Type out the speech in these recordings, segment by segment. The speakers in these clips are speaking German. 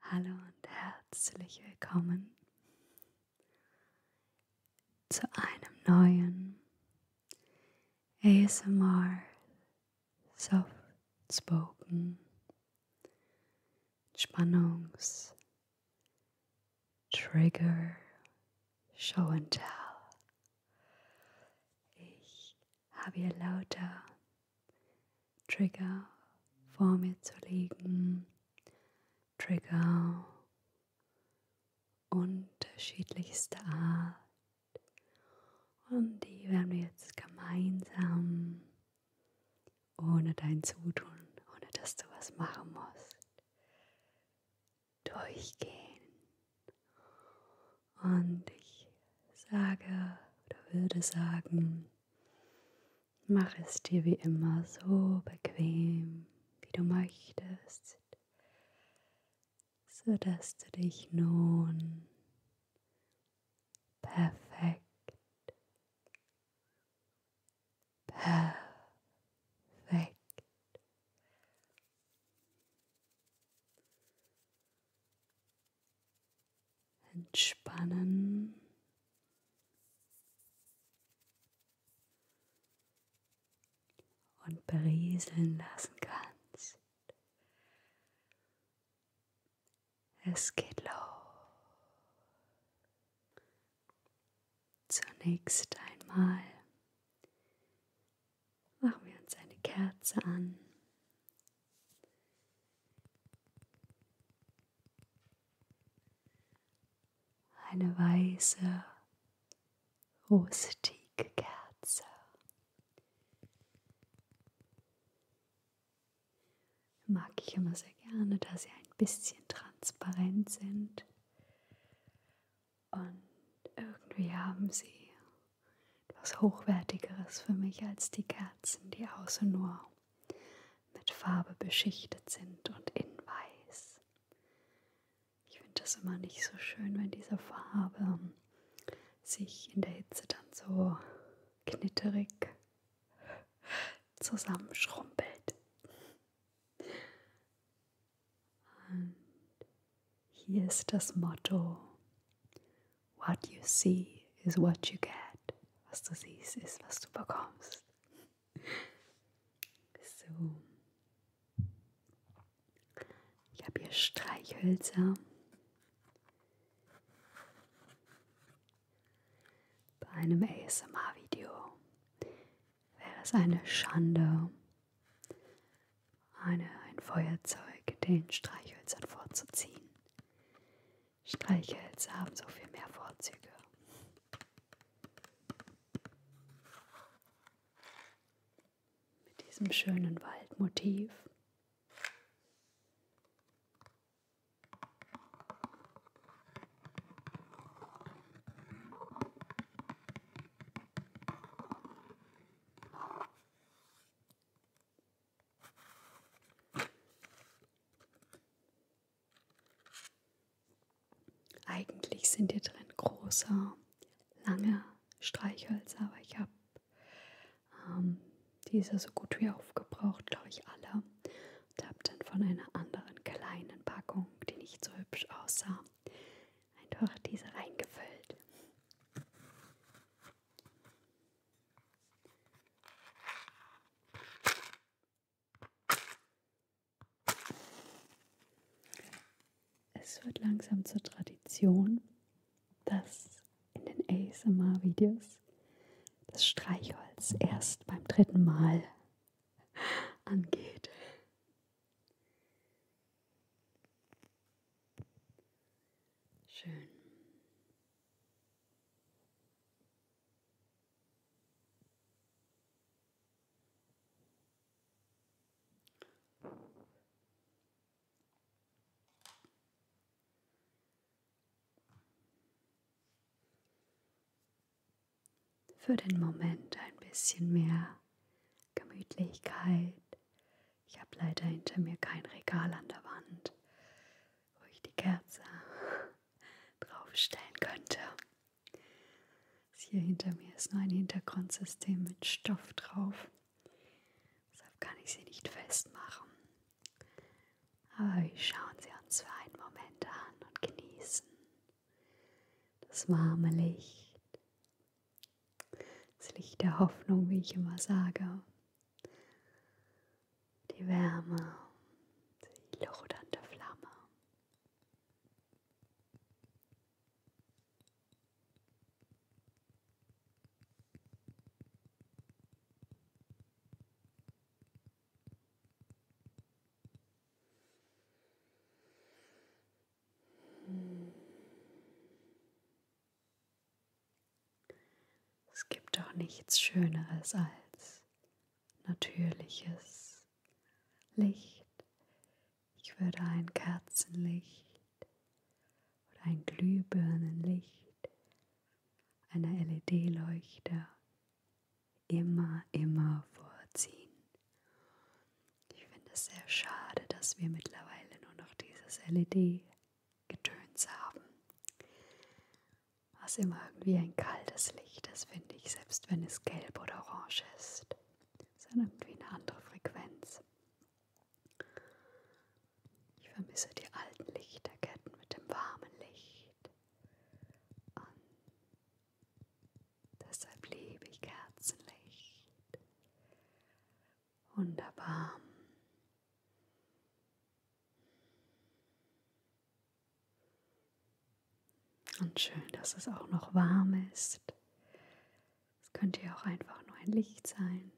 Hallo und herzlich willkommen zu einem neuen ASMR Soft Spoken Spannungs Trigger Show and Tell ich habe hier lauter Trigger vor mir zu liegen. Trigger unterschiedlichster Art. Und die werden wir jetzt gemeinsam, ohne dein Zutun, ohne dass du was machen musst, durchgehen. Und ich sage oder würde sagen, mach es dir wie immer so bequem, wie du möchtest, sodass du dich nun perfekt perfekt entspannen. Und berieseln lassen kannst. Es geht los. Zunächst einmal machen wir uns eine Kerze an. Eine weiße, rustige Kerze. Mag ich immer sehr gerne, da sie ein bisschen transparent sind und irgendwie haben sie etwas Hochwertigeres für mich als die Kerzen, die außen nur mit Farbe beschichtet sind und in weiß. Ich finde das immer nicht so schön, wenn diese Farbe sich in der Hitze dann so knitterig zusammenschrumpelt. Und hier ist das Motto, What you see is what you get. Was du siehst, ist, was du bekommst. So. Ich habe hier Streichhölzer. Bei einem ASMR-Video wäre es eine Schande, eine, ein Feuerzeug den Streichhölzern vorzuziehen. Streichhölzer haben so viel mehr Vorzüge. Mit diesem schönen Waldmotiv. Eigentlich sind hier drin große, lange Streichhölzer, aber ich habe ähm, diese so gut wie aufgebraucht, glaube ich, alle. Und habe dann von einer anderen kleinen Packung, die nicht so hübsch aussah, einfach diese reingefüllt. Es wird langsam zur Tradition, dass in den ASMR-Videos das Streichholz erst beim dritten Mal angeht. Schön. Für den Moment ein bisschen mehr Gemütlichkeit, ich habe leider hinter mir kein Regal an der Wand, wo ich die Kerze draufstellen könnte. Das hier hinter mir ist nur ein Hintergrundsystem mit Stoff drauf. Deshalb kann ich sie nicht festmachen. Aber wir schauen sie uns für einen Moment an und genießen das warme Licht, das Licht der Hoffnung, wie ich immer sage. Die Wärme, die lodernde Flamme. Es gibt doch nichts Schöneres als natürliches Licht. Ich würde ein Kerzenlicht oder ein Glühbirnenlicht, eine LED-Leuchte immer, immer vorziehen. Ich finde es sehr schade, dass wir mittlerweile nur noch dieses LED-Getöns haben, was immer irgendwie ein kaltes Licht ist, finde ich, selbst wenn es gelb oder orange ist. Es ist irgendwie eine andere Frequenz. Ich vermisse die alten Lichterketten mit dem warmen Licht. Und deshalb liebe ich Kerzenlicht. Wunderbar. Und schön, dass es auch noch warm ist. Es könnte ja auch einfach nur ein Licht sein,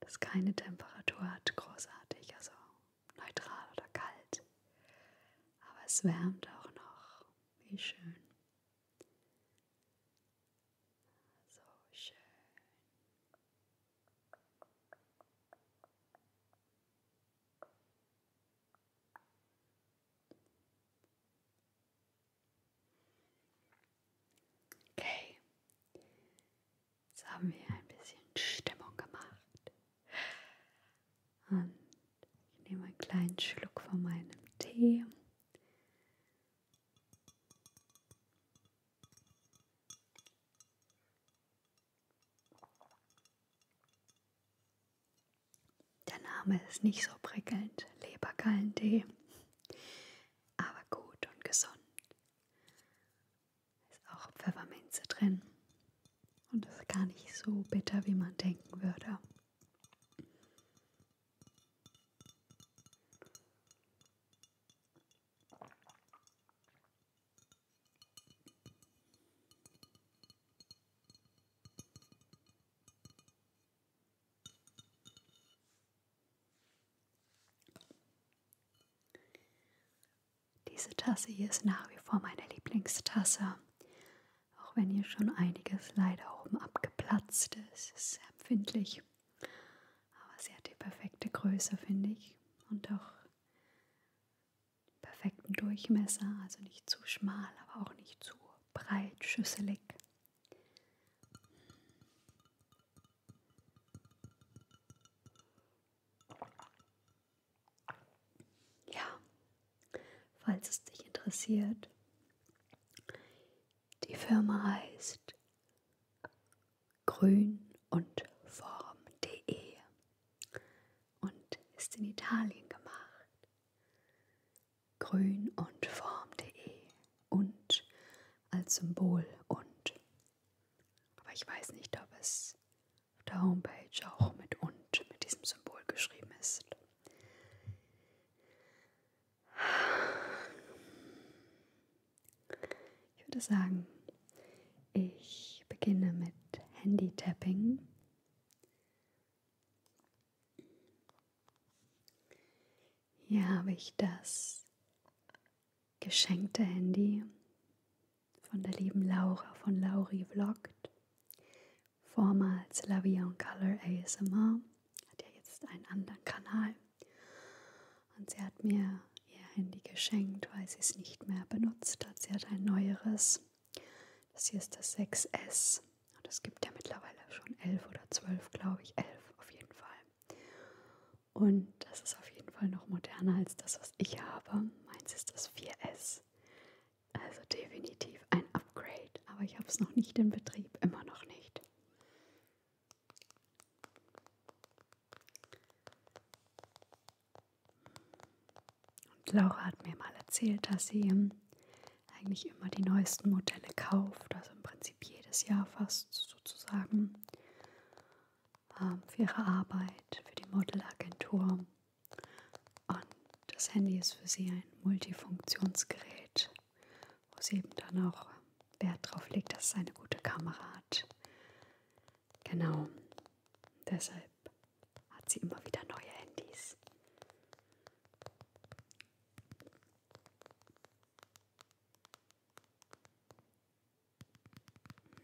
das keine Temperatur hat, großartig, also neutral oder kalt. Aber es wärmt auch noch. Wie schön. So schön. Okay, jetzt haben wir ein bisschen Stimmung gemacht. Und ich nehme einen kleinen Schluck von meinem Tee der Name ist nicht so prickelnd, Lebergallentee, aber gut und gesund. Ist auch Pfefferminze drin und ist gar nicht so bitter, wie man denken würde. Diese Tasse hier ist nach wie vor meine Lieblingstasse. Auch wenn hier schon einiges leider oben abgeplatzt ist, ist sehr empfindlich. Aber sie hat die perfekte Größe, finde ich. Und auch perfekten Durchmesser, also nicht zu schmal, aber auch nicht zu breit, schüsselig. Ja, falls es dich interessiert, die Firma heißt Grün und Form.de und ist in Italien gemacht. Grün und Form.de und als Symbol und. Aber ich weiß nicht, ob es auf der Homepage auch mit und, mit diesem Symbol geschrieben ist. Ich würde sagen, ich beginne mit Handy-Tapping. Hier habe ich das geschenkte Handy von der lieben Laura von Lauri Vlogged, vormals La Vie en Color ASMR hat ja jetzt einen anderen Kanal. Und sie hat mir ihr Handy geschenkt, weil sie es nicht mehr benutzt hat. Sie hat ein neueres. Das hier ist das 6S. Und es gibt ja mittlerweile schon 11 oder 12, glaube ich. 11 auf jeden Fall. Und das ist auf jeden Fall noch moderner als das, was ich habe. Meins ist das 4S. Also definitiv ein Upgrade. Aber ich habe es noch nicht in Betrieb, immer noch nicht. Und Laura hat mir mal erzählt, dass sie ähm, eigentlich immer die neuesten Modelle kauft, also im Prinzip jedes Jahr fast sozusagen ähm, für ihre Arbeit, für die Modelagentur. Und das Handy ist für sie ein Multifunktionsgerät, wo sie eben dann auch Wert drauf legt, dass es eine gute Kamera hat. Genau, deshalb hat sie immer wieder neue Handys.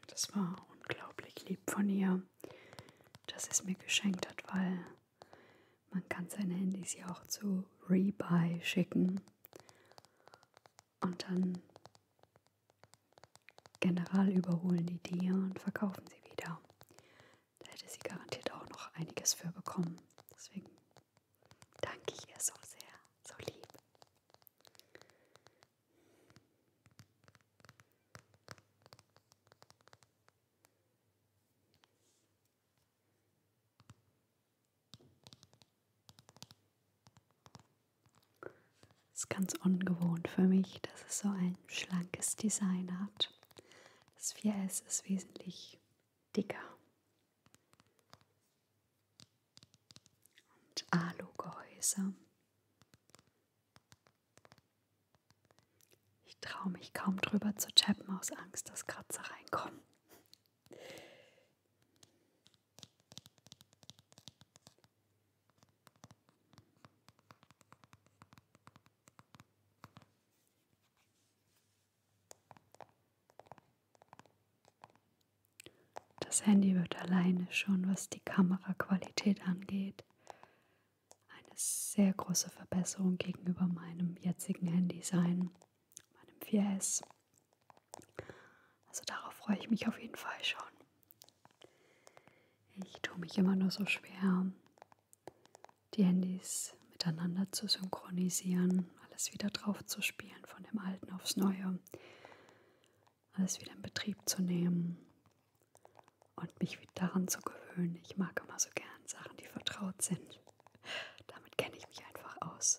Das war unglaublich lieb von ihr, dass es mir geschenkt hat, weil man kann seine Handys ja auch zu Rebuy schicken. Und dann general überholen die Idee und verkaufen sie wieder. Da hätte sie garantiert auch noch einiges für bekommen. Deswegen danke ich ihr so sehr, so lieb. Ist ganz ungewohnt für mich, dass es so ein schlankes Design hat. Das 4S ist wesentlich dicker. Und Alugehäuse. Ich traue mich kaum drüber zu tappen aus Angst, dass Kratzer reinkommen. Das Handy wird alleine schon, was die Kameraqualität angeht, eine sehr große Verbesserung gegenüber meinem jetzigen Handy sein meinem 4S. Also darauf freue ich mich auf jeden Fall schon. Ich tue mich immer nur so schwer, die Handys miteinander zu synchronisieren, alles wieder drauf zu spielen, von dem alten aufs neue, alles wieder in Betrieb zu nehmen und mich daran zu gewöhnen. Ich mag immer so gern Sachen, die vertraut sind. Damit kenne ich mich einfach aus.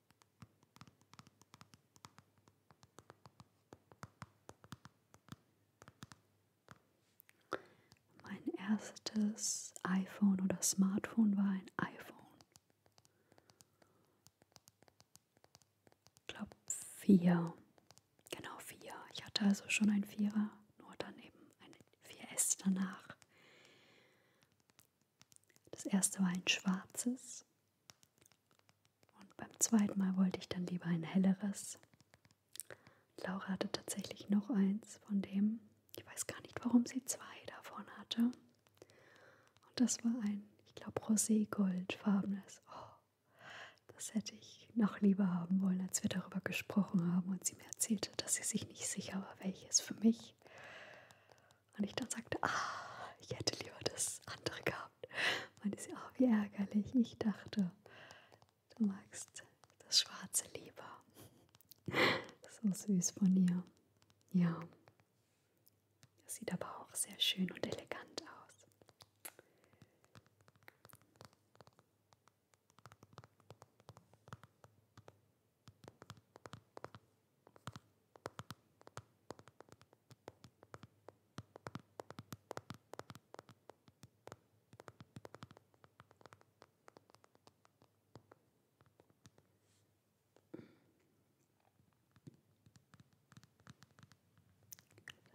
Mein erstes iPhone oder Smartphone war ein iPhone. Ich glaube vier. Genau vier. Ich hatte also schon ein Vierer, nur daneben ein 4S danach. Das erste war ein schwarzes und beim zweiten Mal wollte ich dann lieber ein helleres. Laura hatte tatsächlich noch eins von dem. Ich weiß gar nicht, warum sie zwei davon hatte. Und das war ein, ich glaube, rosé-goldfarbenes. Oh, das hätte ich noch lieber haben wollen, als wir darüber gesprochen haben und sie mir erzählte, dass sie sich nicht sicher war, welches für mich. Und ich dann sagte, ah, ich hätte lieber das andere gehabt. Meinte sie, ah, wie ärgerlich. Ich dachte, du magst das Schwarze lieber. So süß von ihr. Ja. Das sieht aber auch sehr schön und elegant aus.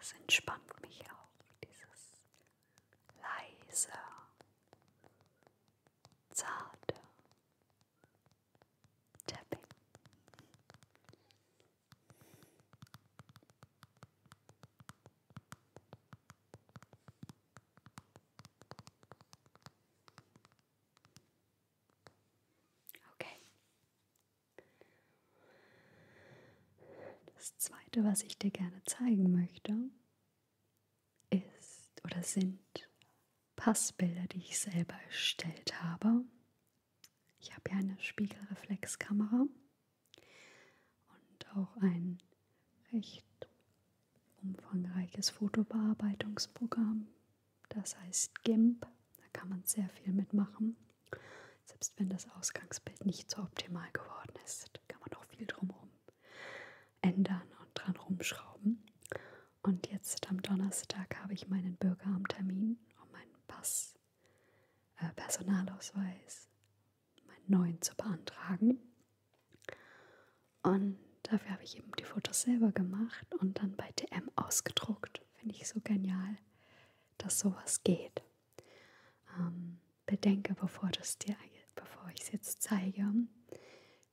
Es entspannt mich auch, dieses leise, zarte Tapping. Okay. Das zweite, was ich dir gerne zeigen möchte, ist oder sind Passbilder, die ich selber erstellt habe. Ich habe ja eine Spiegelreflexkamera und auch ein recht umfangreiches Fotobearbeitungsprogramm. Das heißt GIMP. Da kann man sehr viel mitmachen. Selbst wenn das Ausgangsbild nicht so optimal geworden ist, kann man auch viel drumherum ändern und dran rumschrauben. Und jetzt am Donnerstag habe ich meinen Bürgeramt-Termin um meinen Pass, äh, Personalausweis, meinen neuen zu beantragen. Und dafür habe ich eben die Fotos selber gemacht und dann bei DM ausgedruckt. Finde ich so genial, dass sowas geht. Ähm, bedenke, bevor, das dir, bevor ich es jetzt zeige,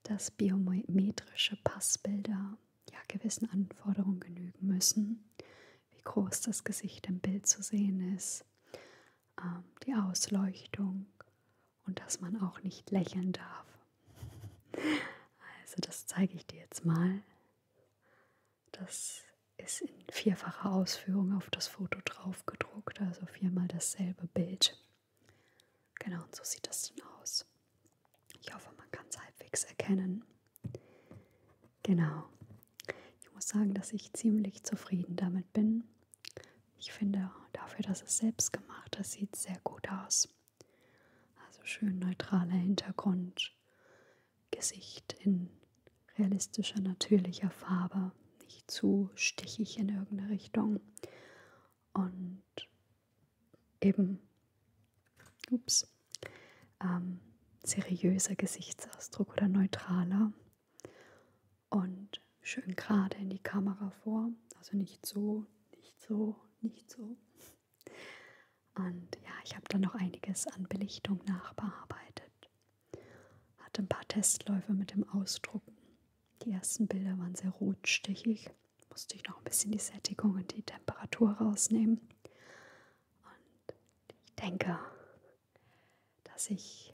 dass biometrische Passbilder ja gewissen Anforderungen genügen müssen, wie groß das Gesicht im Bild zu sehen ist, ähm, die Ausleuchtung und dass man auch nicht lächeln darf. Also das zeige ich dir jetzt mal. Das ist in vierfacher Ausführung auf das Foto drauf gedruckt, also viermal dasselbe Bild. Genau, und so sieht das dann aus. Ich hoffe, man kann es halbwegs erkennen. Genau. Ich muss sagen, dass ich ziemlich zufrieden damit bin. Ich finde, dafür, dass es selbst gemacht ist, sieht sehr gut aus. Also schön neutraler Hintergrund, Gesicht in realistischer, natürlicher Farbe, nicht zu stichig in irgendeine Richtung und eben ups, ähm, seriöser Gesichtsausdruck oder neutraler und schön gerade in die Kamera vor, also nicht so, nicht so, nicht so. Und ja, ich habe dann noch einiges an Belichtung nachbearbeitet. Hatte ein paar Testläufe mit dem Ausdrucken. Die ersten Bilder waren sehr rotstichig musste ich noch ein bisschen die Sättigung und die Temperatur rausnehmen. Und ich denke, dass ich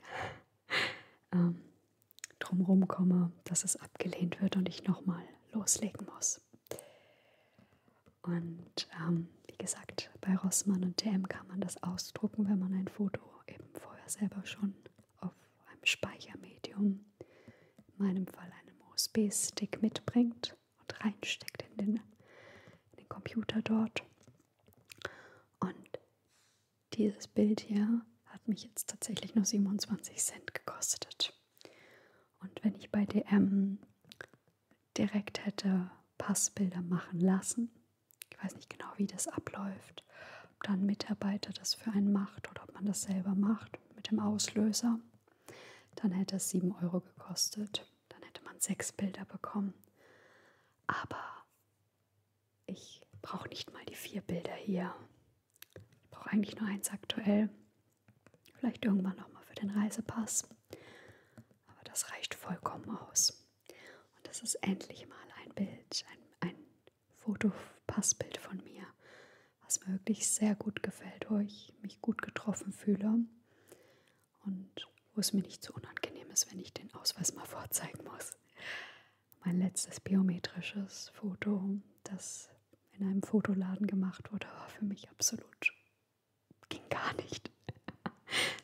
ähm, drumherum komme, dass es abgelehnt wird und ich nochmal loslegen muss. Und ähm, wie gesagt, bei Rossmann und TM kann man das ausdrucken, wenn man ein Foto eben vorher selber schon auf einem Speichermedium, in meinem Fall einem USB-Stick mitbringt und reinsteckt in den, in den Computer dort. Und dieses Bild hier hat mich jetzt tatsächlich nur 27 Cent gekostet. Und wenn ich bei DM direkt hätte Passbilder machen lassen, ich weiß nicht genau, wie das abläuft, ob dann ein Mitarbeiter das für einen macht oder ob man das selber macht, mit dem Auslöser. Dann hätte es 7 Euro gekostet. Dann hätte man sechs Bilder bekommen. Aber ich brauche nicht mal die vier Bilder hier. Ich brauche eigentlich nur eins aktuell. Vielleicht irgendwann nochmal für den Reisepass. Aber das reicht vollkommen aus. Und das ist endlich mal ein Bild, ein, ein, Fotopassbild von mir, was mir wirklich sehr gut gefällt, wo ich mich gut getroffen fühle und wo es mir nicht zu so unangenehm ist, wenn ich den Ausweis mal vorzeigen muss. Mein letztes biometrisches Foto, das in einem Fotoladen gemacht wurde, war für mich absolut ging gar nicht.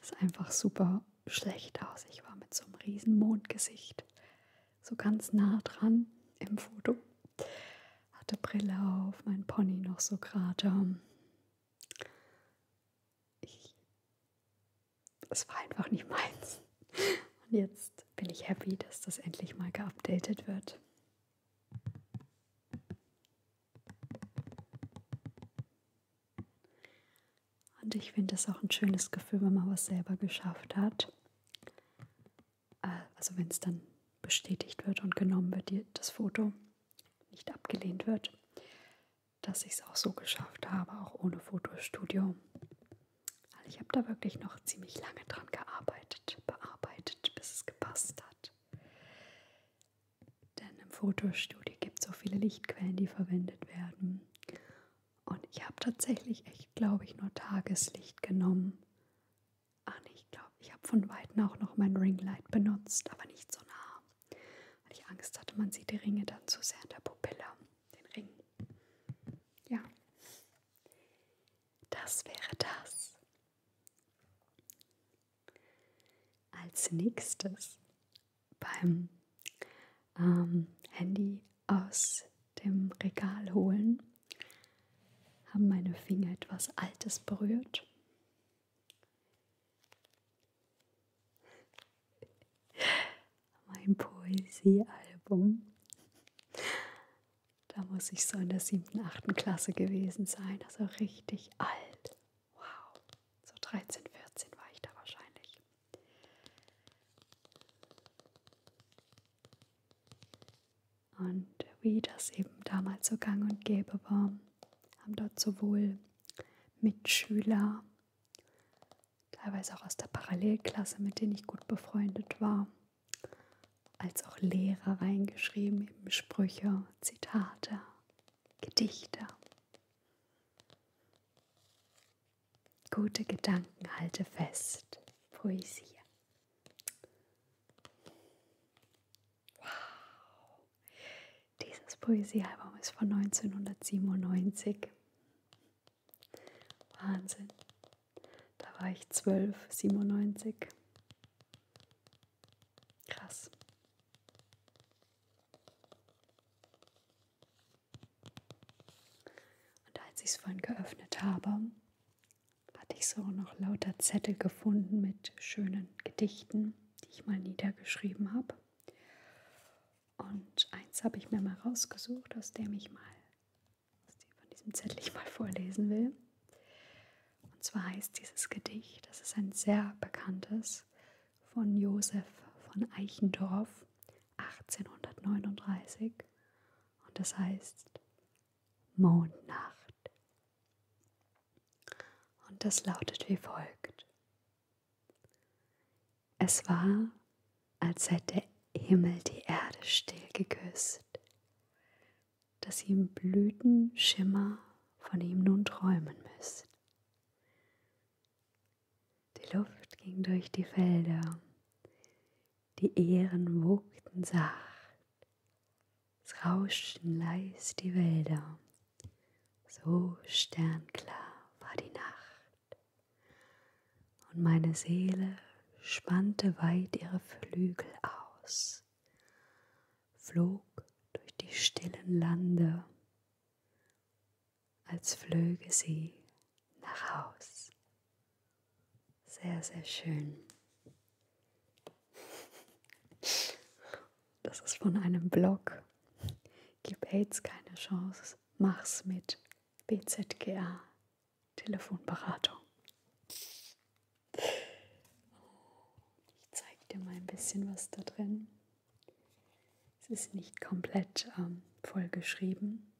Es sah einfach super schlecht aus. Ich war mit so einem riesen Mondgesicht so ganz nah dran im Foto hatte Brille auf, mein Pony noch so gerade. Ich, es war einfach nicht meins. Und jetzt bin ich happy, dass das endlich mal geupdatet wird. Und ich finde es auch ein schönes Gefühl, wenn man was selber geschafft hat also wenn es dann bestätigt wird und genommen wird, die, das Foto nicht abgelehnt wird, dass ich es auch so geschafft habe, auch ohne Fotostudio. Also ich habe da wirklich noch ziemlich lange dran gearbeitet, bearbeitet, bis es gepasst hat. Denn im Fotostudio gibt es so viele Lichtquellen, die verwendet werden. Und ich habe tatsächlich echt, glaube ich, nur Tageslicht genommen, Ach nee, ich glaube, ich habe von Weitem auch noch mein Ringlight benutzt, aber nicht so nah. Weil ich Angst hatte, man sieht die Ringe dann zu sehr in der Pupille. Den Ring. Ja. Das wäre das. Als nächstes beim ähm, Handy aus dem Regal holen, haben meine Finger etwas Altes berührt. Mein Poesiealbum. Da muss ich so in der siebten, achten Klasse gewesen sein, also richtig alt. Wow, so 13, 14 war ich da wahrscheinlich. Und wie das eben damals so gang und gäbe war, haben dort sowohl Mitschüler, teilweise auch aus der Parallelklasse, mit denen ich gut befreundet war, als auch Lehrer reingeschrieben, eben Sprüche, Zitate, Gedichte. Gute Gedanken halte fest, Poesie. Wow. Dieses Poesiealbum ist von 1997. Wahnsinn. Da war ich 12, 97. Krass. Und als ich es vorhin geöffnet habe, hatte ich so noch lauter Zettel gefunden mit schönen Gedichten, die ich mal niedergeschrieben habe. Und eins habe ich mir mal rausgesucht, aus dem ich mal aus dem von diesem Zettel ich mal vorlesen will. Und zwar heißt dieses Gedicht, das ist ein sehr bekanntes von Josef von Eichendorff 1839 und das heißt Mondnacht. Und das lautet wie folgt. Es war, als hätte der Himmel die Erde still geküsst, dass ihm Blütenschimmer von ihm nun träumen müsst. Die Luft ging durch die Felder, die Ehrenwogten sacht. Es rauschten leis die Wälder, so sternklar war die Nacht. Und meine Seele spannte weit ihre Flügel aus, flog durch die stillen Lande, als flöge sie nach Haus. Sehr, sehr schön. Das ist von einem Blog. Gib AIDS keine Chance. Mach's mit BZGA Telefonberatung. Ich zeige dir mal ein bisschen was da drin. Es ist nicht komplett ähm, vollgeschrieben.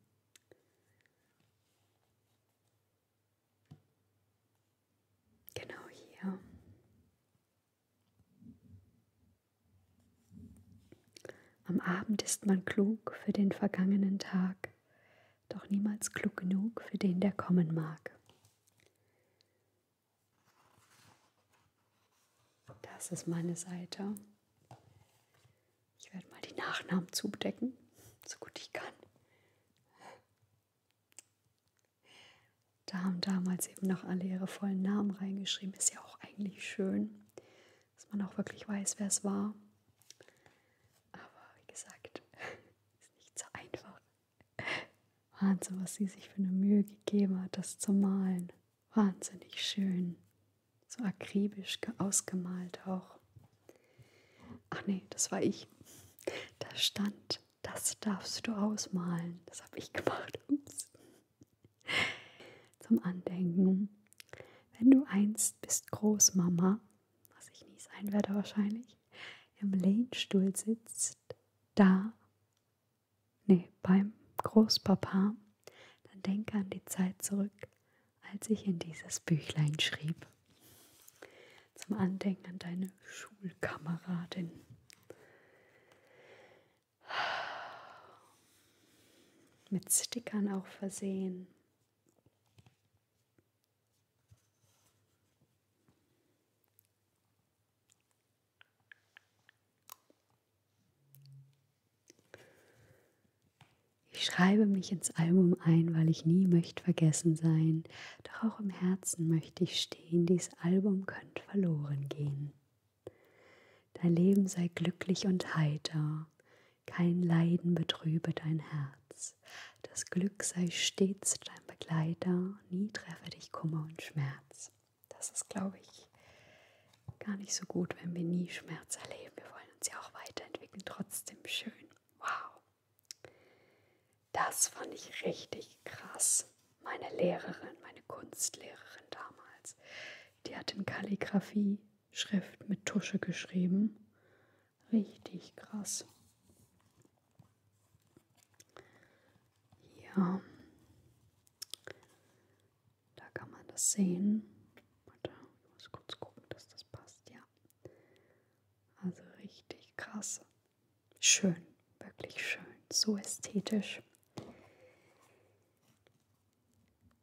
Genau hier. Am Abend ist man klug für den vergangenen Tag, doch niemals klug genug für den, der kommen mag. Das ist meine Seite. Ich werde mal die Nachnamen zudecken, so gut ich kann. Da haben damals eben noch alle ihre vollen Namen reingeschrieben. Ist ja auch eigentlich schön, dass man auch wirklich weiß, wer es war. Aber wie gesagt, ist nicht so einfach. Wahnsinn, was sie sich für eine Mühe gegeben hat, das zu malen. Wahnsinnig schön. So akribisch ausgemalt auch. Ach nee, das war ich. Da stand, das darfst du ausmalen. Das habe ich gemacht. Ups. Zum Andenken. Wenn du einst bist Großmama, was ich nie sein werde wahrscheinlich, im Lehnstuhl sitzt, da, nee, beim Großpapa, dann denke an die Zeit zurück, als ich in dieses Büchlein schrieb zum Andenken an deine Schulkameradin. Mit Stickern auch versehen. Ich schreibe mich ins Album ein, weil ich nie möchte vergessen sein, doch auch im Herzen möchte ich stehen, dies Album könnte verloren gehen. Dein Leben sei glücklich und heiter, kein Leiden betrübe dein Herz, das Glück sei stets dein Begleiter, nie treffe dich Kummer und Schmerz. Das ist, glaube ich, gar nicht so gut, wenn wir nie Schmerz erleben. Wir wollen uns ja auch weiterentwickeln, trotzdem schön. Wow. Das fand ich richtig krass. Meine Lehrerin, meine Kunstlehrerin damals, die hat in Kalligraphie-Schrift mit Tusche geschrieben. Richtig krass. Ja. Da kann man das sehen. Warte, ich muss kurz gucken, dass das passt. Ja. Also richtig krass. Schön, wirklich schön, so ästhetisch.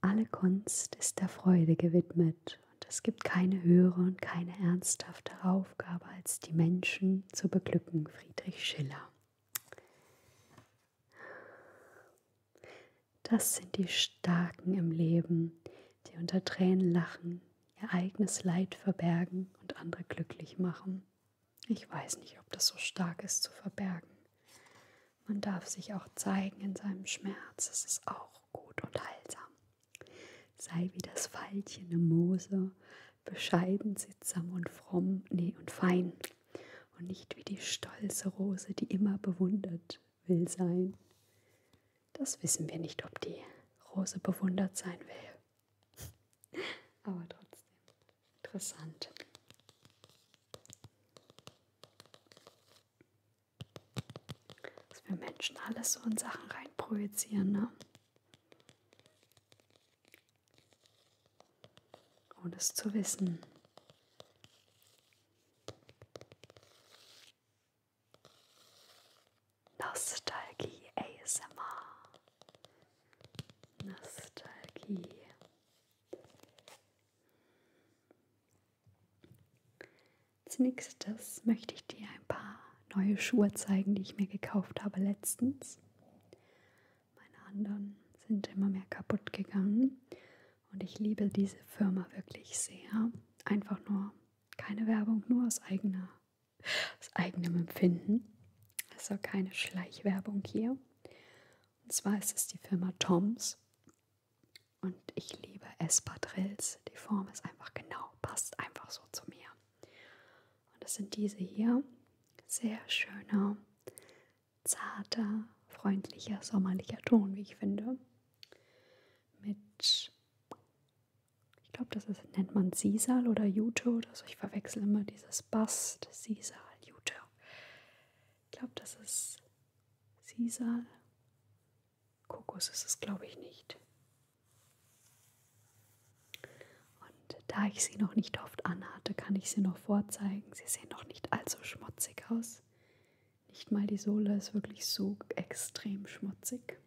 Alle Kunst ist der Freude gewidmet und es gibt keine höhere und keine ernsthaftere Aufgabe, als die Menschen zu beglücken, Friedrich Schiller. Das sind die Starken im Leben, die unter Tränen lachen, ihr eigenes Leid verbergen und andere glücklich machen. Ich weiß nicht, ob das so stark ist zu verbergen. Man darf sich auch zeigen in seinem Schmerz. Es ist auch gut und heilsam. Sei wie das Veilchen im Mose, bescheiden, sittsam und fromm, nee und fein. Und nicht wie die stolze Rose, die immer bewundert will sein. Das wissen wir nicht, ob die Rose bewundert sein will. Aber trotzdem interessant. Dass wir Menschen alles so in Sachen reinprojizieren, ne? Ohne es zu wissen. Nostalgie ASMR. Nostalgie. Als nächstes möchte ich dir ein paar neue Schuhe zeigen, die ich mir gekauft habe letztens. Meine anderen sind immer mehr kaputt gegangen und ich liebe diese Firma wirklich sehr. Einfach nur keine Werbung, nur aus eigener aus eigenem Empfinden. Also keine Schleichwerbung hier. Und zwar ist es die Firma Toms. Und ich liebe Espadrilles. Die Form ist einfach genau, passt einfach so zu mir. Und das sind diese hier. Sehr schöner, zarter, freundlicher, sommerlicher Ton, wie ich finde. Mit ich glaube, das ist, nennt man Sisal oder Jute oder so. Ich verwechsel immer dieses Bast, Sisal, Jute. Ich glaube, das ist Sisal. Kokos ist es, glaube ich, nicht. Und da ich sie noch nicht oft anhatte, kann ich sie noch vorzeigen. Sie sehen noch nicht allzu schmutzig aus. Nicht mal die Sohle ist wirklich so extrem schmutzig.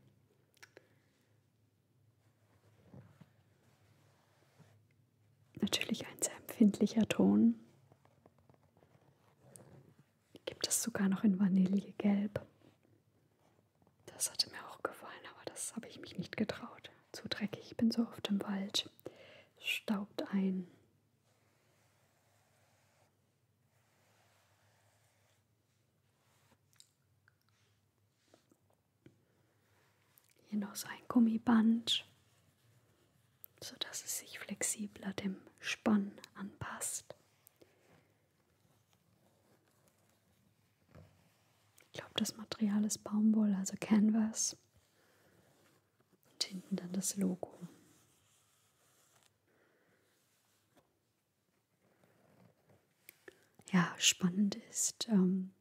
Natürlich ein sehr empfindlicher Ton. Gibt es sogar noch in Vanillegelb. Das hatte mir auch gefallen, aber das habe ich mich nicht getraut. Zu dreckig, ich bin so oft im Wald. Staubt ein. Hier noch so ein Gummiband, sodass es sich flexibler dem Spann anpasst. Ich glaube, das Material ist Baumwolle, also Canvas. Und hinten dann das Logo ja, spannend ist, ähm,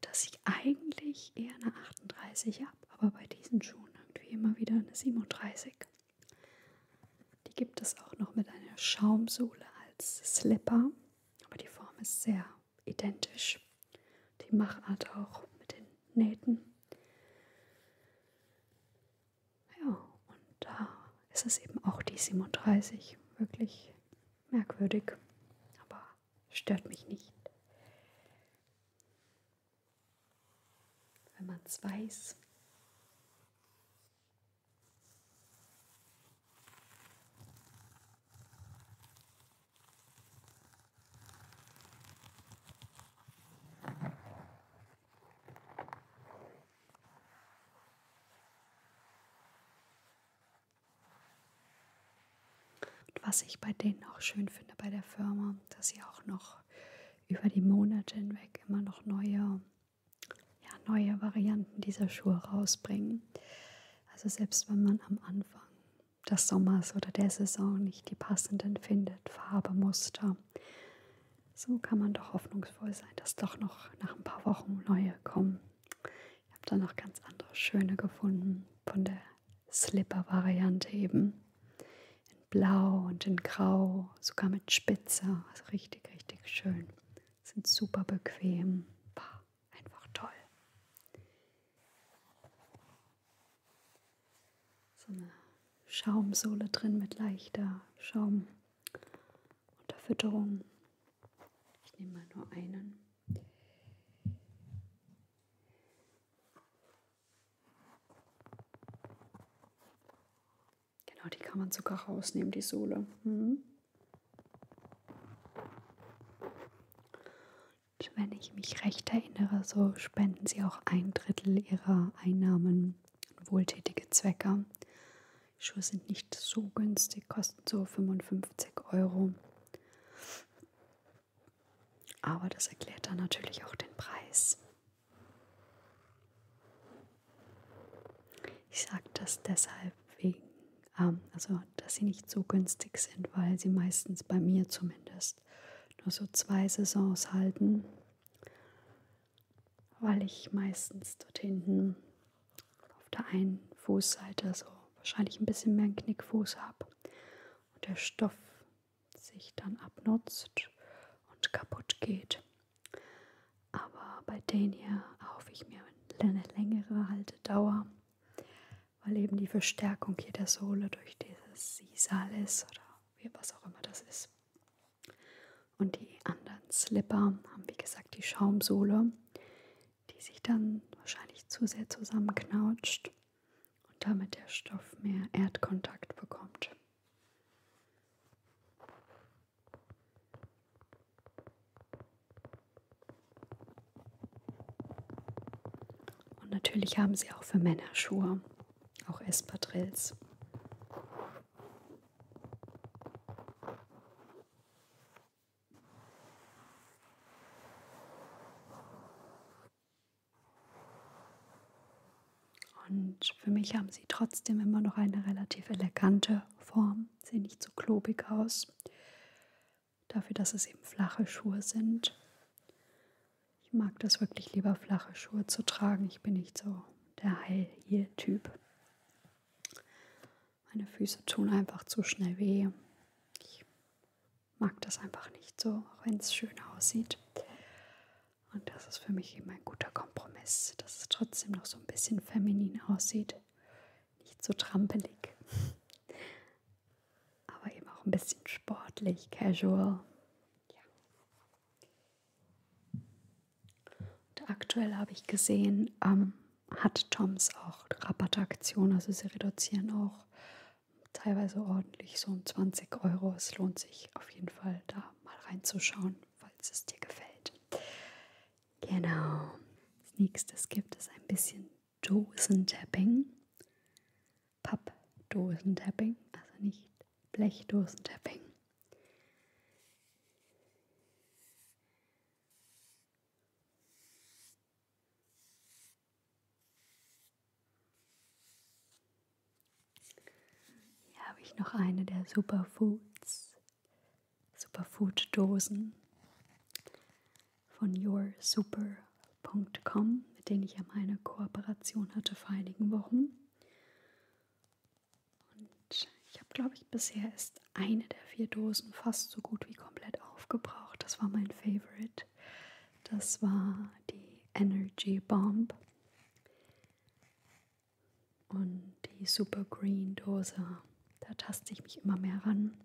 dass ich eigentlich eher eine 38 habe, aber bei diesen Schuhen irgendwie immer wieder eine 37. Die gibt es auch noch mit einer Schaumsohle als Slipper, aber die Form ist sehr identisch. Die Machart auch mit den Nähten. Ja, und da ist es eben auch die 37. Wirklich merkwürdig, aber stört mich nicht. Wenn man es weiß. Und was ich bei denen auch schön finde bei der Firma, dass sie auch noch über die Monate hinweg immer noch neue, ja, neue Varianten dieser Schuhe rausbringen. Also selbst wenn man am Anfang des Sommers oder der Saison nicht die passenden findet, Farbe, Muster, so kann man doch hoffnungsvoll sein, dass doch noch nach ein paar Wochen neue kommen. Ich habe da noch ganz andere schöne gefunden von der Slipper-Variante eben. In Blau und in Grau, sogar mit Spitze. Also richtig, richtig schön. Sind super bequem. War einfach toll. So eine Schaumsohle drin mit leichter Schaum. Unterfütterung. Ich nehme mal nur einen. Genau, die kann man sogar rausnehmen, die Sohle. Mhm. Und wenn ich mich recht erinnere, so spenden sie auch ein Drittel ihrer Einnahmen wohltätige Zwecke. Die Schuhe sind nicht so günstig, kosten so 55 Euro. Aber das erklärt dann natürlich auch den Preis. Ich sage das deshalb wegen, ähm, also dass sie nicht so günstig sind, weil sie meistens bei mir zumindest nur so zwei Saisons halten weil ich meistens dort hinten auf der einen Fußseite so wahrscheinlich ein bisschen mehr einen Knickfuß habe und der Stoff sich dann abnutzt und kaputt geht. Aber bei denen hier erhoffe ich mir eine längere Haltedauer, weil eben die Verstärkung hier der Sohle durch dieses Sisal ist oder was auch immer das ist. Und die anderen Slipper haben, wie gesagt, die Schaumsohle, die sich dann wahrscheinlich zu sehr zusammenknautscht und damit der Stoff mehr Erdkontakt bekommt. Und natürlich haben sie auch für Männer Schuhe, auch Espadrilles. Und für mich haben sie trotzdem immer noch eine relativ elegante Form, sehen nicht so klobig aus, dafür, dass es eben flache Schuhe sind. Ich mag das wirklich lieber, flache Schuhe zu tragen. Ich bin nicht so der High-Heel-Typ. Meine Füße tun einfach zu schnell weh. Ich mag das einfach nicht so, auch wenn es schön aussieht. Und das ist für mich eben ein guter Kompromiss, dass es trotzdem noch so ein bisschen feminin aussieht. Nicht so trampelig. Aber eben auch ein bisschen sportlich, casual. Ja. Und aktuell habe ich gesehen, ähm, hat Toms auch Rabattaktion, also sie reduzieren auch teilweise ordentlich, so um 20 Euro. Es lohnt sich auf jeden Fall, da mal reinzuschauen, falls es dir gefällt. Genau. Als nächstes gibt es ein bisschen Dosentapping. Pappdosentapping, also nicht Blechdosentapping. Hier habe ich noch eine der Superfoods, Superfood-Dosen von yoursuper.com, mit denen ich ja meine Kooperation hatte vor einigen Wochen. Und ich habe, glaube ich, bisher ist eine der vier Dosen fast so gut wie komplett aufgebraucht. Das war mein Favorite. Das war die Energy Bomb. Und die Super Green Dose, da taste ich mich immer mehr ran.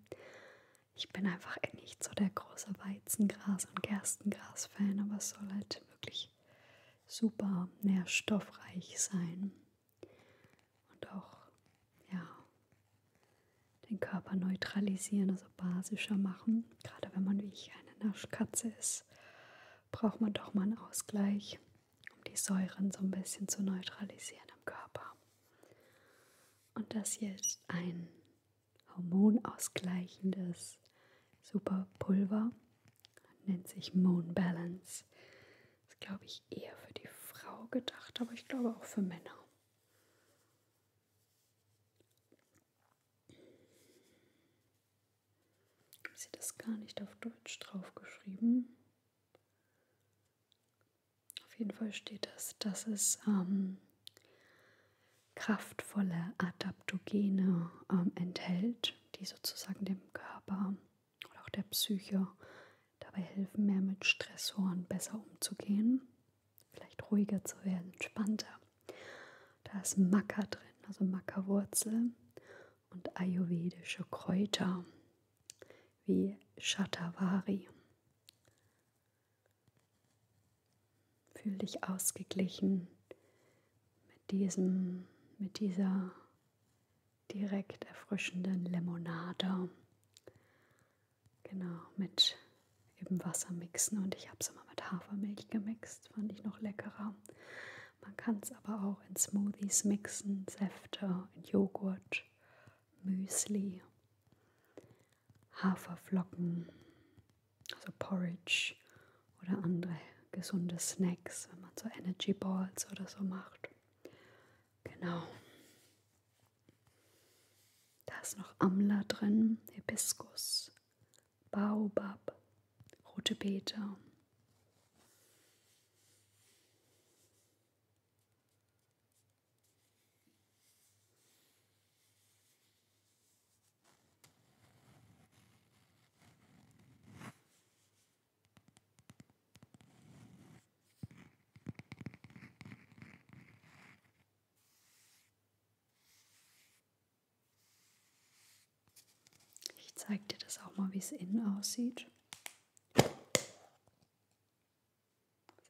Ich bin einfach nicht so der große Weizengras- und Gerstengras-Fan, aber es soll halt wirklich super nährstoffreich sein und auch ja, den Körper neutralisieren, also basischer machen. Gerade wenn man wie ich eine Naschkatze ist, braucht man doch mal einen Ausgleich, um die Säuren so ein bisschen zu neutralisieren im Körper. Und das hier ist ein hormonausgleichendes Superpulver, nennt sich Moon Balance. Ist, glaube ich, eher für die Frau gedacht, aber ich glaube auch für Männer. Ist hier das gar nicht auf Deutsch draufgeschrieben? Auf jeden Fall steht das, dass es ähm, kraftvolle Adaptogene ähm, enthält, die sozusagen dem Körper und auch der Psyche dabei helfen, mehr mit Stressoren besser umzugehen, vielleicht ruhiger zu werden, entspannter. Da ist Maca drin, also Mackerwurzel und ayurvedische Kräuter wie Shatavari. Fühl dich ausgeglichen mit diesem, mit dieser direkt erfrischenden Limonade. Genau, mit eben Wasser mixen und ich habe es immer mit Hafermilch gemixt, fand ich noch leckerer. Man kann es aber auch in Smoothies mixen, Säfte, in Joghurt, Müsli, Haferflocken, also Porridge oder andere gesunde Snacks, wenn man so Energy Balls oder so macht. Genau. Da ist noch Amla drin, Hibiskus, Baobab, rote Beete. Ich zeige dir das auch mal, wie es innen aussieht. Es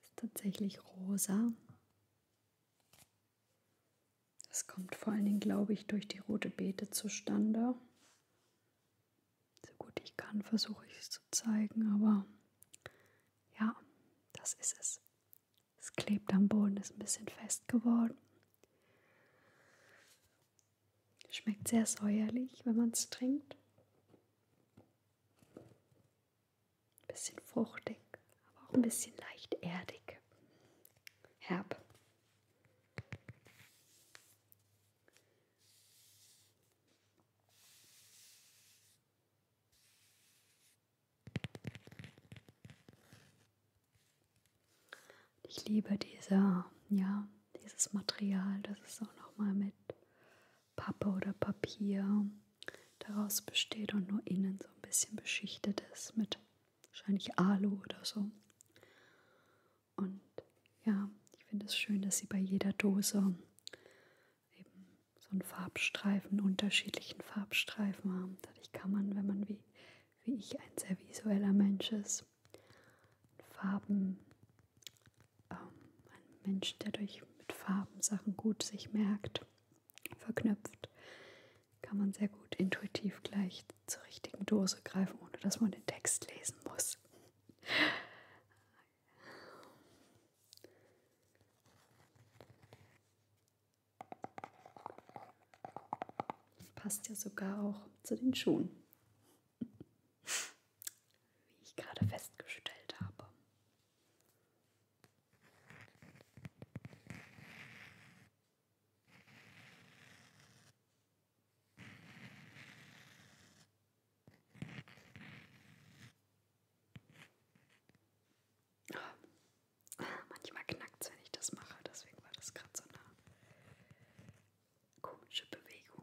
ist tatsächlich rosa. Das kommt vor allen Dingen, glaube ich, durch die rote Beete zustande so gut ich kann, versuche ich es zu zeigen, aber ja, das ist es. Es klebt am Boden, ist ein bisschen fest geworden. Schmeckt sehr säuerlich, wenn man es trinkt. Ein bisschen fruchtig, aber auch ein bisschen leicht erdig. Herb. Ich liebe diese, ja, dieses Material, das ist auch nochmal mit Pappe oder Papier daraus besteht und nur innen so ein bisschen beschichtet ist mit wahrscheinlich Alu oder so. Und ja, ich finde es schön, dass sie bei jeder Dose eben so einen Farbstreifen, unterschiedlichen Farbstreifen haben. Dadurch kann man, wenn man wie, wie ich ein sehr visueller Mensch ist, Farben, ähm, ein Mensch, der durch mit Farben Sachen gut sich merkt, verknüpft, kann man sehr gut intuitiv gleich zur richtigen Dose greifen, ohne dass man den Text lesen muss. Passt ja sogar auch zu den Schuhen, wie ich gerade festgestellt habe. Oh. Manchmal knackt es, wenn ich das mache, deswegen war das gerade so eine komische Bewegung.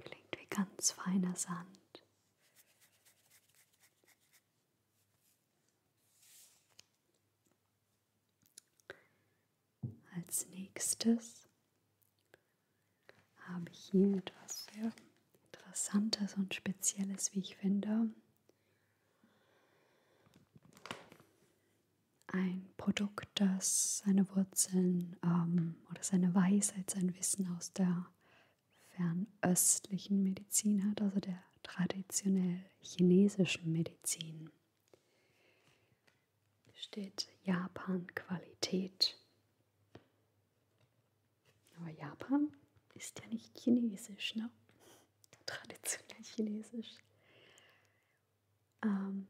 Klingt wie ganz feiner Sand. Als nächstes habe ich hier etwas sehr Interessantes und Spezielles, wie ich finde. Ein Produkt, das seine Wurzeln ähm, oder seine Weisheit, sein Wissen aus der fernöstlichen Medizin hat, also der traditionell chinesischen Medizin steht Japan Qualität. Aber Japan ist ja nicht chinesisch, ne? Traditionell chinesisch. Ähm,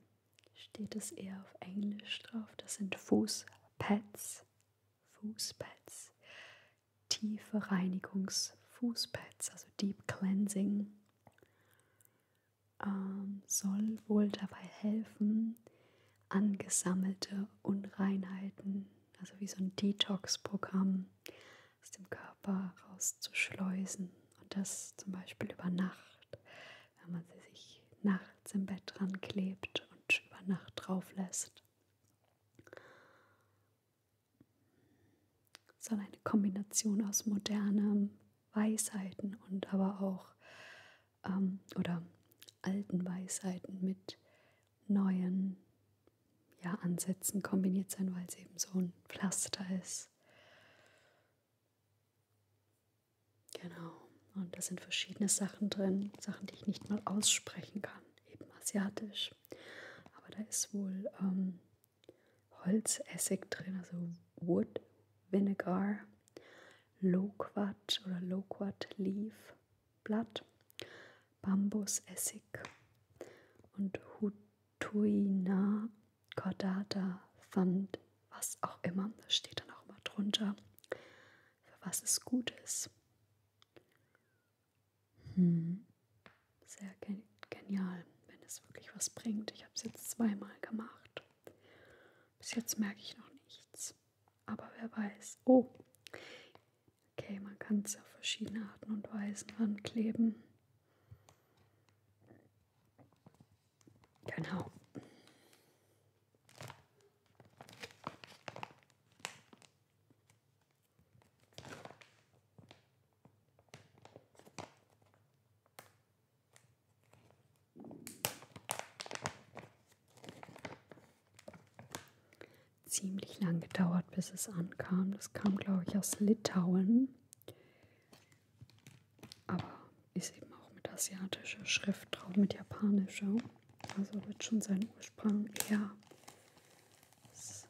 steht es eher auf Englisch drauf. Das sind Fußpads. Fußpads. Tiefe Reinigungsfußpads, also Deep Cleansing ähm, soll wohl dabei helfen, angesammelte Unreinheiten, also wie so ein Detox-Programm, aus dem Körper rauszuschleusen. Und das zum Beispiel über Nacht, wenn man sie sich nachts im Bett dran klebt und über Nacht drauf lässt. Soll eine Kombination aus modernem Weisheiten und aber auch ähm, oder alten Weisheiten mit neuen ja, Ansätzen kombiniert sein, weil es eben so ein Pflaster ist. Genau. Und da sind verschiedene Sachen drin, Sachen, die ich nicht mal aussprechen kann, eben asiatisch. Aber da ist wohl ähm, Holzessig drin, also Wood Vinegar. Loquat oder Loquat Leaf Blatt, Bambusessig und Hutuina Cordata Pfand, was auch immer. Das steht dann auch immer drunter, für was es gut ist. Hm. Sehr gen genial, wenn es wirklich was bringt. Ich habe es jetzt zweimal gemacht. Bis jetzt merke ich noch nicht nichts. Aber wer weiß. Oh. Okay, man kann es auf verschiedene Arten und Weisen rankleben. Genau. Ziemlich lang gedauert, bis es ankam. Das kam, glaube ich, aus Litauen. Aber ist eben auch mit asiatischer Schrift drauf, mit japanischer. Also wird schon seinen Ursprung eher aus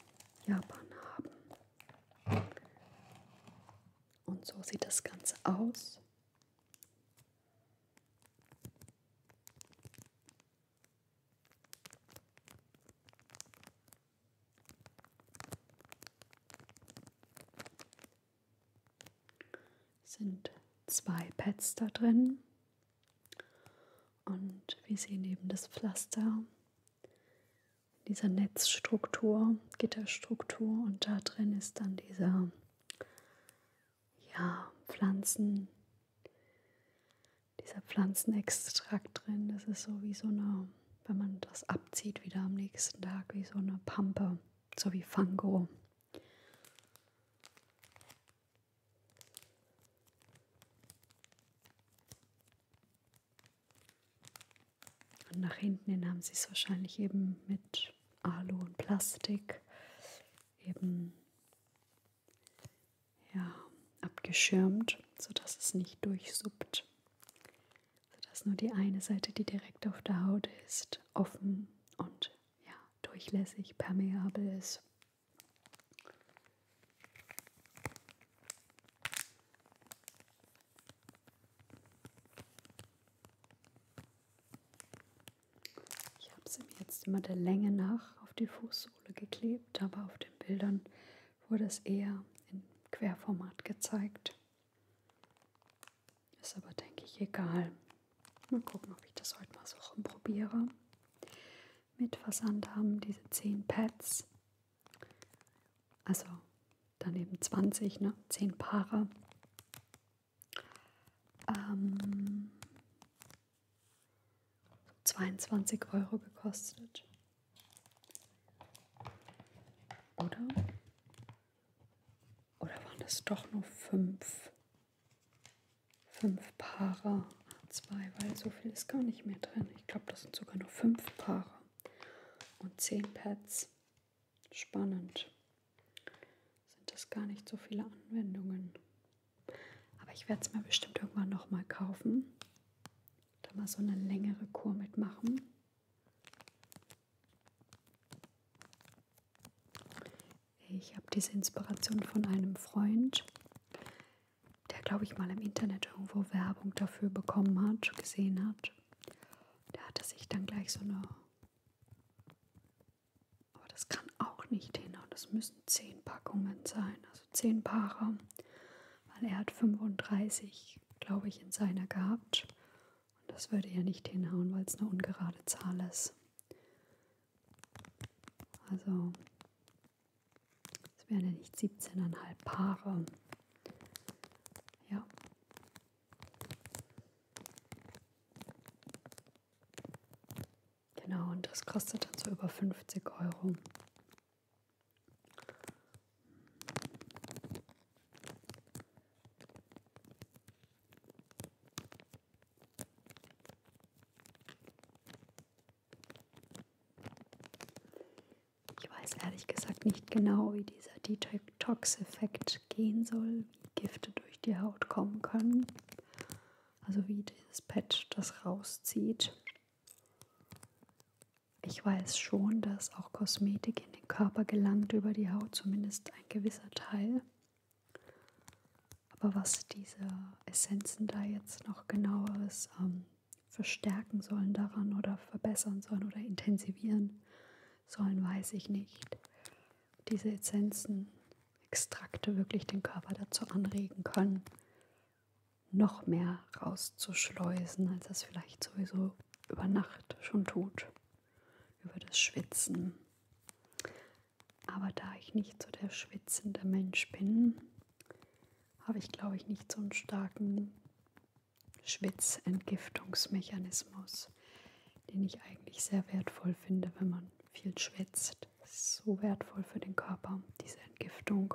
Japan haben. Und so sieht das Ganze aus. Sind zwei Pads da drin. Und wir sehen eben das Pflaster dieser Netzstruktur, Gitterstruktur und da drin ist dann dieser ja, Pflanzen, dieser Pflanzenextrakt drin. Das ist so wie so eine, wenn man das abzieht wieder am nächsten Tag, wie so eine Pampe, so wie Fango. Und nach hinten hin haben sie es wahrscheinlich eben mit mit Alu und Plastik eben ja, abgeschirmt, sodass es nicht durchsuppt, sodass nur die eine Seite, die direkt auf der Haut ist, offen und ja, durchlässig, permeabel ist. Ich habe sie mir jetzt immer der Länge nach auf die Fußsohle geklebt, aber auf den Bildern wurde es eher in Querformat gezeigt. Ist aber, denke ich, egal. Mal gucken, ob ich das heute mal so rumprobiere. Mit Versand haben diese 10 Pads, also dann eben 20, ne? 10 Paare ähm, 22 Euro gekostet. Oder? Oder waren das doch nur fünf? Fünf Paare zwei, weil so viel ist gar nicht mehr drin. Ich glaube, das sind sogar nur fünf Paare und zehn Pads. Spannend. Sind das gar nicht so viele Anwendungen. Aber ich werde es mir bestimmt irgendwann nochmal kaufen. Da mal so eine längere Kur mitmachen. Ich habe diese Inspiration von einem Freund, der, glaube ich, mal im Internet irgendwo Werbung dafür bekommen hat, gesehen hat. Der hatte sich dann gleich so eine aber das kann auch nicht hinhauen. Das müssen 10 Packungen sein, also 10 Paare. Weil er hat 35, glaube ich, in seiner gehabt. Und das würde ja nicht hinhauen, weil es eine ungerade Zahl ist. Also, es wären ja nicht 17,5 Paare. Ja. Genau, und das kostet dann so über 50 Euro. Ich weiß ehrlich gesagt nicht genau, wie dieser Detox-Effekt gehen soll. Gifte durch die Haut kommen können. Also wie dieses Patch das rauszieht. Ich weiß schon, dass auch Kosmetik in den Körper gelangt über die Haut, zumindest ein gewisser Teil. Aber was diese Essenzen da jetzt noch genaueres ähm, verstärken sollen daran oder verbessern sollen oder intensivieren sollen, weiß ich nicht diese Essenzen, Extrakte wirklich den Körper dazu anregen können, noch mehr rauszuschleusen, als es vielleicht sowieso über Nacht schon tut, über das Schwitzen. Aber da ich nicht so der schwitzende Mensch bin, habe ich, glaube ich, nicht so einen starken Schwitzentgiftungsmechanismus, den ich eigentlich sehr wertvoll finde, wenn man viel schwitzt. Das ist so wertvoll für den Körper, diese Entgiftung.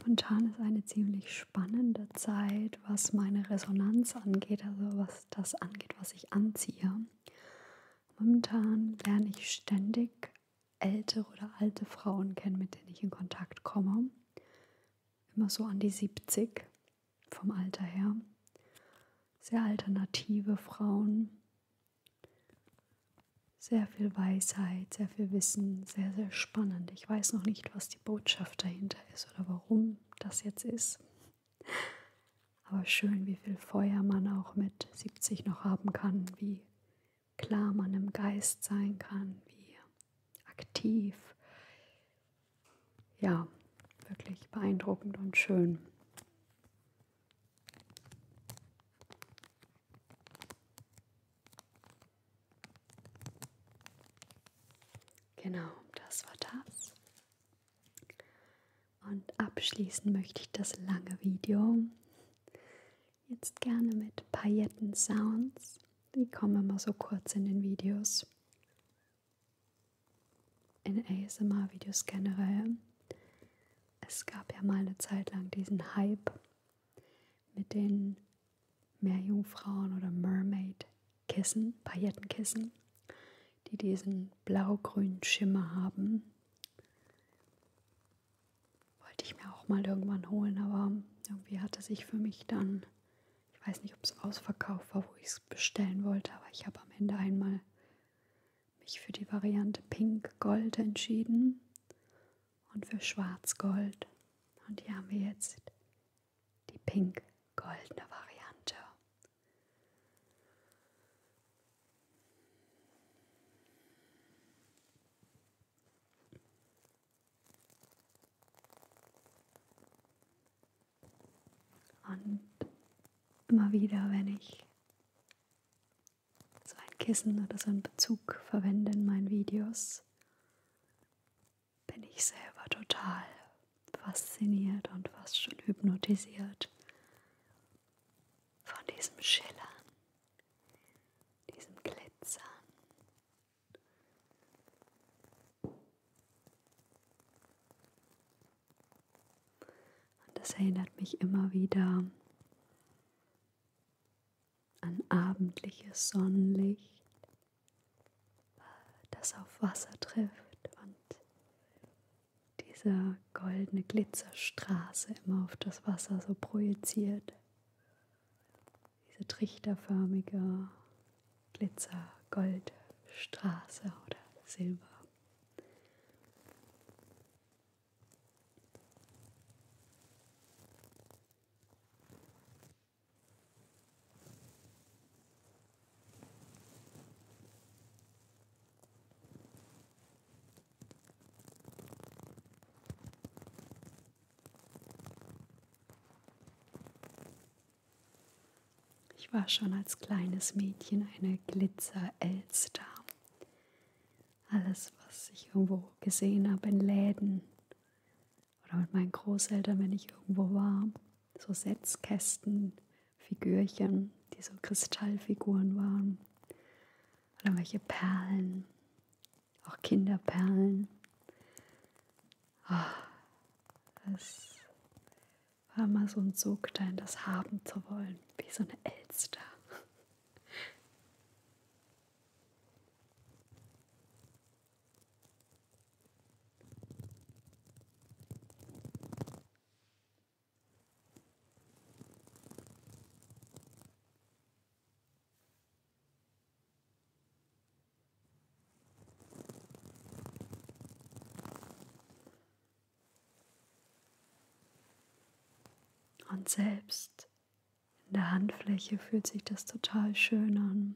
Momentan ist eine ziemlich spannende Zeit, was meine Resonanz angeht, also was das angeht, was ich anziehe. Momentan lerne ich ständig ältere oder alte Frauen kennen, mit denen ich in Kontakt komme. Immer so an die 70 vom Alter her. Sehr alternative Frauen, sehr viel Weisheit, sehr viel Wissen, sehr, sehr spannend. Ich weiß noch nicht, was die Botschaft dahinter ist oder warum das jetzt ist. Aber schön, wie viel Feuer man auch mit 70 noch haben kann, wie klar man im Geist sein kann, wie aktiv. Ja, wirklich beeindruckend und schön. Genau, das war das. Und abschließen möchte ich das lange Video jetzt gerne mit Pailletten-Sounds. Die kommen immer so kurz in den Videos. In ASMR-Videos generell es gab ja mal eine Zeit lang diesen Hype mit den Meerjungfrauen oder Mermaid-Kissen, Paillettenkissen, die diesen blau-grünen Schimmer haben. Wollte ich mir auch mal irgendwann holen, aber irgendwie hatte sich für mich dann, ich weiß nicht, ob es ausverkauft war, wo ich es bestellen wollte, aber ich habe am Ende einmal mich für die Variante Pink-Gold entschieden und für Schwarz-Gold. Und hier haben wir jetzt die pink-goldene Variante. Und immer wieder, wenn ich so ein Kissen oder so einen Bezug verwende in meinen Videos, bin ich selber total fasziniert und fast schon hypnotisiert von diesem Schillern, diesem Glitzern. Und das erinnert mich immer wieder an abendliches Sonnenlicht, das auf Wasser trifft und dieser goldene Glitzerstraße immer auf das Wasser so projiziert. Diese trichterförmige Glitzer-Goldstraße oder Silber. Ich war schon als kleines Mädchen eine Glitzer-Elster alles, was ich irgendwo gesehen habe in Läden oder mit meinen Großeltern, wenn ich irgendwo war, so Setzkästen, Figürchen, die so Kristallfiguren waren oder welche Perlen, auch Kinderperlen. Oh, das war mal so ein Sog dahin, das haben zu wollen, wie so eine Elster. Und selbst in der Handfläche fühlt sich das total schön an.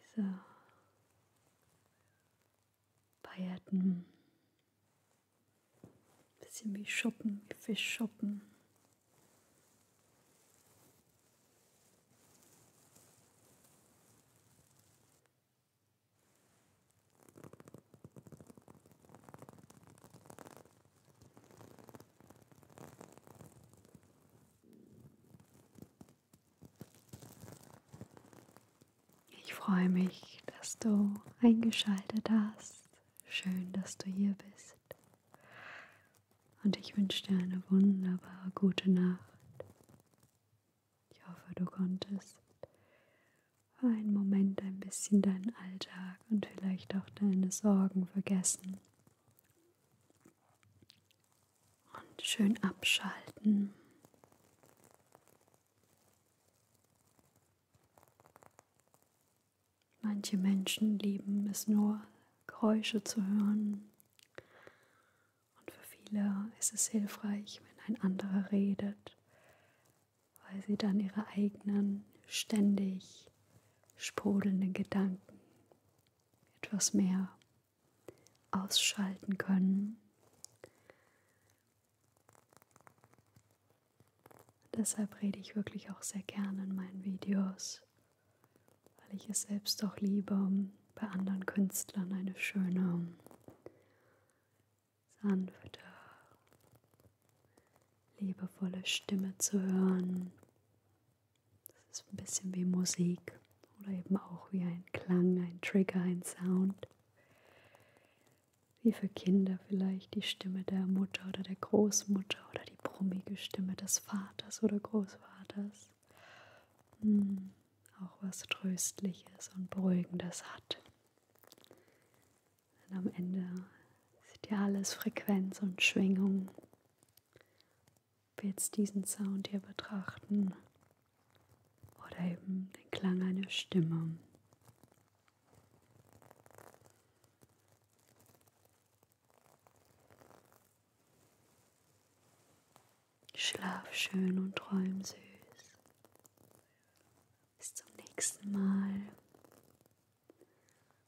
Diese Pailletten. Ein bisschen wie Schuppen, wie Fischschuppen. Ich freue mich, dass du eingeschaltet hast. Schön, dass du hier bist. Und ich wünsche dir eine wunderbare gute Nacht. Ich hoffe, du konntest für einen Moment ein bisschen deinen Alltag und vielleicht auch deine Sorgen vergessen. Und schön abschalten. Manche Menschen lieben es nur, Geräusche zu hören. Und für viele ist es hilfreich, wenn ein anderer redet, weil sie dann ihre eigenen ständig sprudelnden Gedanken etwas mehr ausschalten können. Deshalb rede ich wirklich auch sehr gerne in meinen Videos, weil ich es selbst auch liebe, bei anderen Künstlern eine schöne sanfte, liebevolle Stimme zu hören. Das ist ein bisschen wie Musik oder eben auch wie ein Klang, ein Trigger, ein Sound. Wie für Kinder vielleicht die Stimme der Mutter oder der Großmutter oder die brummige Stimme des Vaters oder Großvaters. Hm, auch was Tröstliches und Beruhigendes hat. Und am Ende ist ja alles Frequenz und Schwingung. Ob wir jetzt diesen Sound hier betrachten oder eben den Klang einer Stimme. Schlaf schön und träum süß. Bis zum nächsten Mal.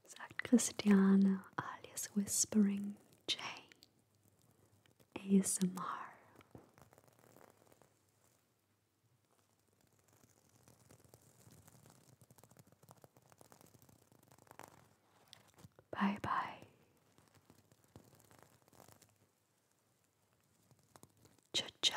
Sacristiano alias Whispering J ASMR Bye bye. Ciao ciao.